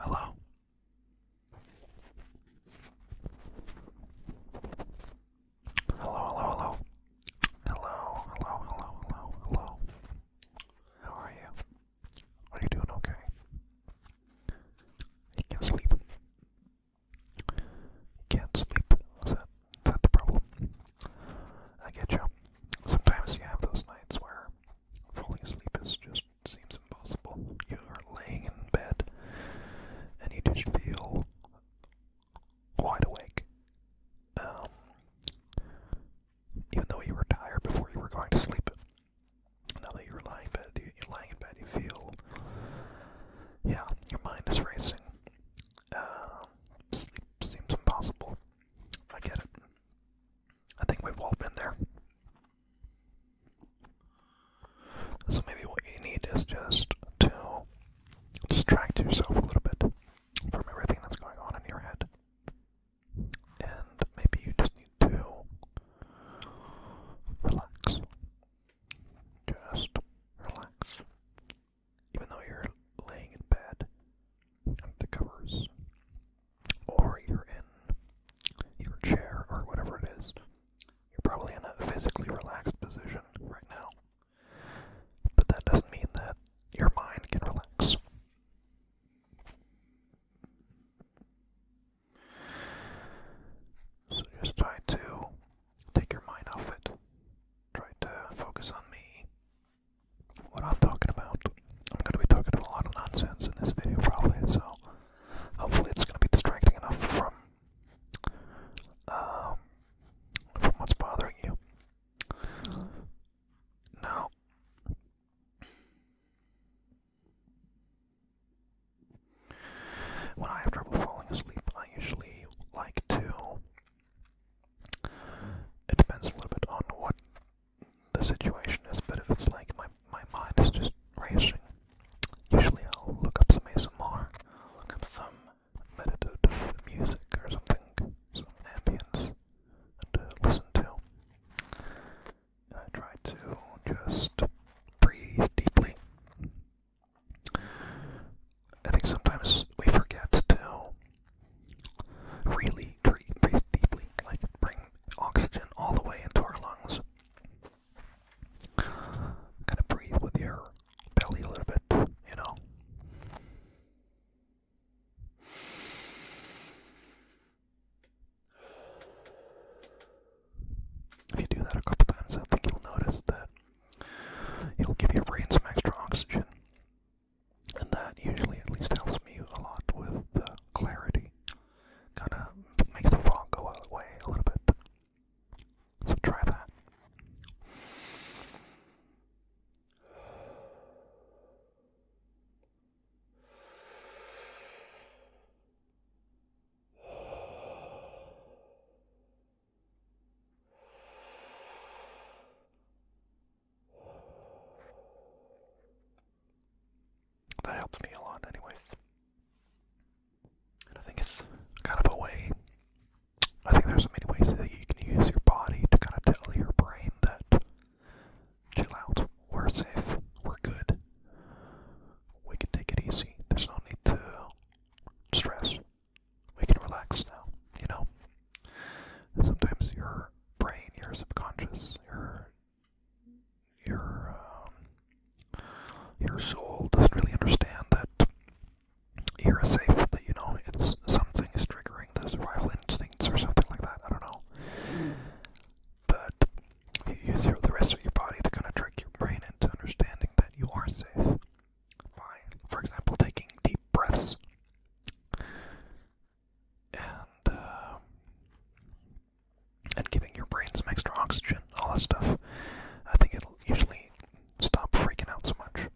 Hello. Hello, hello, hello. Hello, hello, hello, hello, hello. How are you? Are you doing okay? You can sleep. Can't sleep. Is that, is the problem? I get you. Sometimes you have those nights where falling asleep is just seems impossible. You are laying in bed and you just feel wide awake. Um, even though you were tired before you were going to sleep. Now that you're lying in bed, you're lying in bed, you feel, yeah, your mind is racing. Uh, seems impossible. I get it. I think we've all been there. So maybe what you need is just to distract yourself a little bit from everything that's going on in your head. And maybe you just need to relax. Just relax. Even though you're laying in bed under the covers, or you're in your chair or whatever it is, you're probably in a physically relaxed position right now. But that doesn't mean that your mind can relax. So just try to Take your mind off it. Try to focus on me. What I'm talking about. I'm going to be talking a lot of nonsense in this video, probably, so hopefully it's going to be distracting enough from, uh, from what's bothering you. Now, when I have trouble falling asleep, I usually like to. It depends a little bit on what the situation is, but if it's like my my mind is just racing, usually I'll look up some ASMR, look up some meditative music or something, some ambience, and uh, listen to. And I try to just breathe deeply I think sometimes we forget to really breathe deeply, like bring oxygen all the way into our lungs. Kind of breathe with your belly a little bit, you know. If you do that a couple times, I think you'll notice that It'll give your brain some extra oxygen. And that usually at least helps me a lot with the clarity. Kinda makes the fog go away a little bit. So try that. That helps me a lot, anyways. And I think it's kind of a way. I think there's so many ways that you can use your body to kind of tell your brain that chill out, we're safe, we're good, we can take it easy. There's no need to stress. We can relax now, you know? Sometimes your brain, your subconscious, your your um, your soul doesn't really understand that you're safe. That you know, it's something is triggering the survival instincts or something like that. I don't know. Mm. But you use your, the rest of your body to kind of trick your brain into understanding that you are safe. For example, taking deep breaths. And, uh, and giving your brain some extra oxygen, all that stuff. I think it'll usually stop freaking out so much.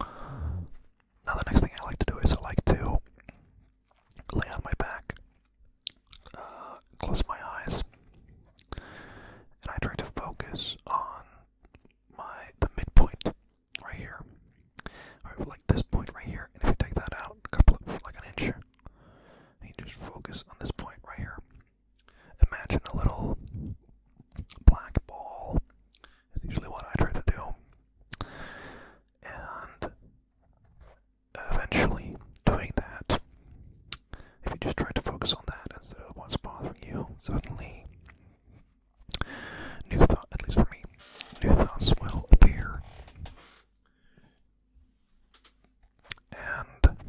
Now, the next thing I like to do is I like to lay on my back uh, close my eyes and I try to focus on my the midpoint right here. Alright, like this point right here, and if you take that out a couple of like an inch, and you just focus on this point right here. Imagine a little black ball is usually what I try to do. And eventually doing that if you just try to focus on that instead of what's bothering you, suddenly new thoughts, at least for me, new thoughts will appear. And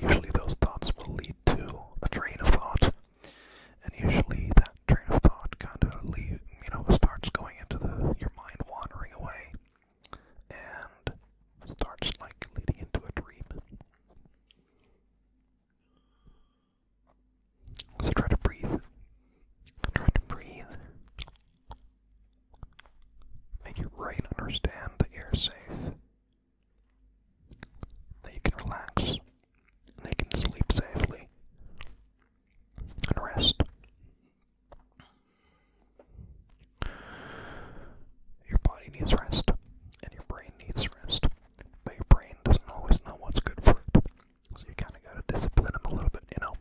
usually those thoughts will lead to a train of thought. And usually that train of thought kind of lead, you know, starts going into the your mind wandering away and starts like leading into a dream. So try to breathe. Try to breathe. Make your brain understand that you're safe. That you can relax. That you can sleep safely. And rest. Your body needs rest, and your brain needs rest, but your brain doesn't always know what's good for it. So you kind of gotta discipline them a little bit, you know.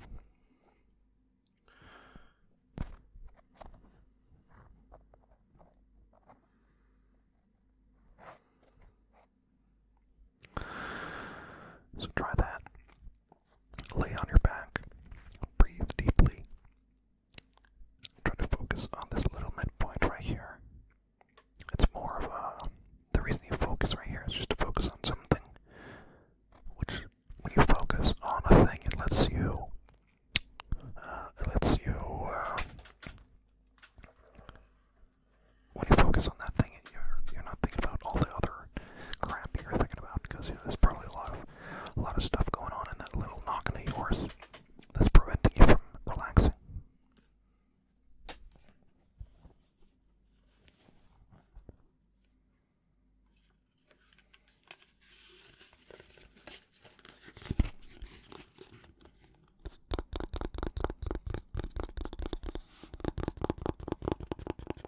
So try that. Lay on your back, breathe deeply. Try to focus on this little midpoint right here. It's more of a. The reason you focus right here is just to focus on something. Which, when you focus on a thing, it lets you. Uh, it lets you. Uh, when you focus on that thing, you're, you're not thinking about all the other crap you're thinking about because you know, there's probably a lot of a lot of stuff going on in that little noggin of yours that's preventing you from relaxing.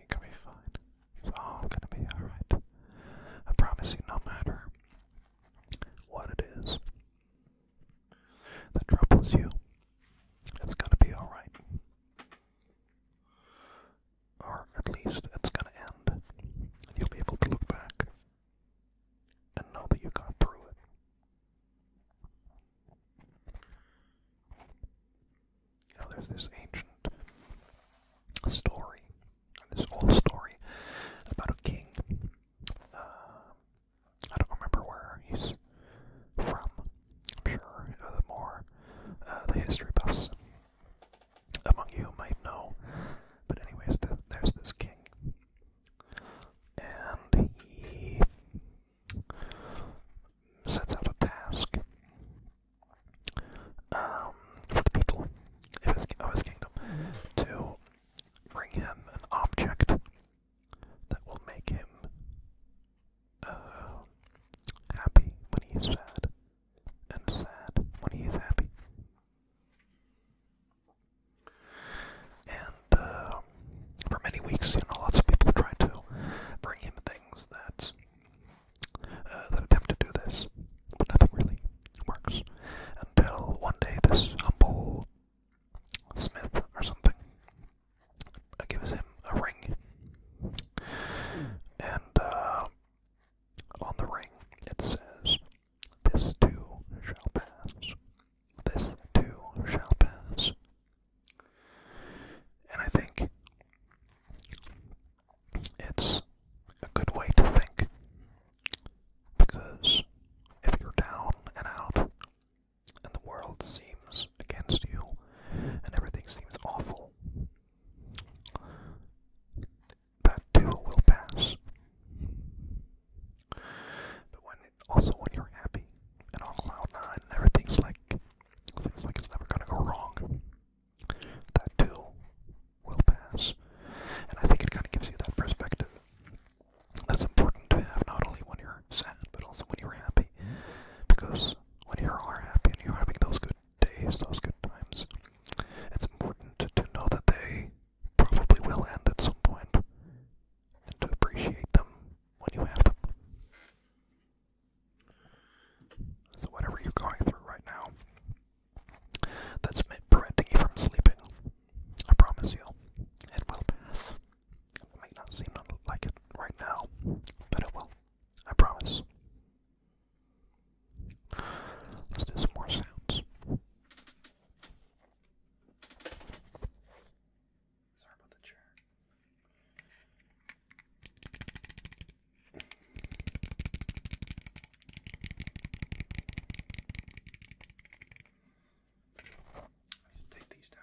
It could be fine. It's all gonna be alright. I promise you, no matter what it is that troubles you, it's gonna be alright. Or at least it's gonna end. And you'll be able to look back and know that you got through it there's this ancient story, this old story about a king. Uh, I don't remember where he's from. I'm sure the more uh, the history buffs among you might know. But anyways, there's this king, and he sets out a task um, for the people of his, kingdom to bring him an object that will make him uh, happy when he's sad, and sad when he's happy. And uh, for many weeks, you know, lots of people tried to bring him things that uh, that attempt to do this, but nothing really works until one day this humble smith or something uh, gives him a ring, and uh, on the ring it says, "This too shall pass. This too shall pass." And I think it's a good way to think because if you're down and out and the world seems against you and everything seems awful, that too will pass. But when it, also when you're happy and on cloud nine and everything's like seems like it's never gonna go wrong, that too will pass. And I think it kind of gives you that perspective. That's important to have not only when you're sad, but also when you're happy. Because when you are happy and you're having those good days, those good times, it's important to know that they probably will end at some point and to appreciate them when you have them. So, whatever you're going through right now, that's preventing you from sleeping, I promise you, it will pass. It may not seem like it right now, but it will. I promise. Let's do some more sounds. Sorry about the chair. Just take these down.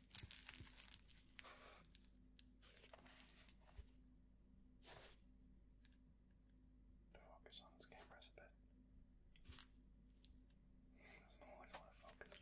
To focus on these cameras a bit. Doesn't always want to focus.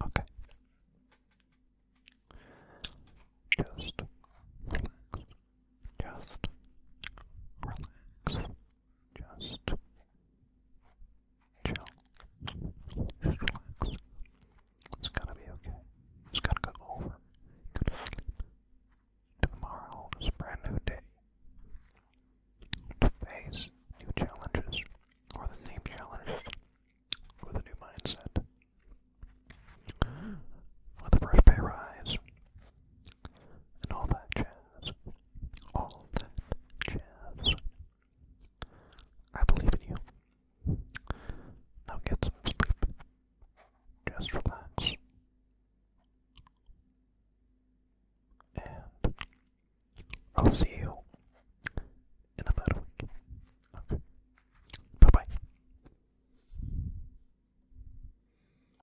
Okay. Just relax just relax, just chill, relax. It's gonna be okay. It's gonna go over. Go to sleep. Tomorrow is a brand new day. To face new challenges, or the same challenges, with a new mindset. With the first pay rise, and all that jazz. All that jazz. I believe in you. Now get some sleep. Just relax. And I'll see you in a a week. Okay. Bye bye.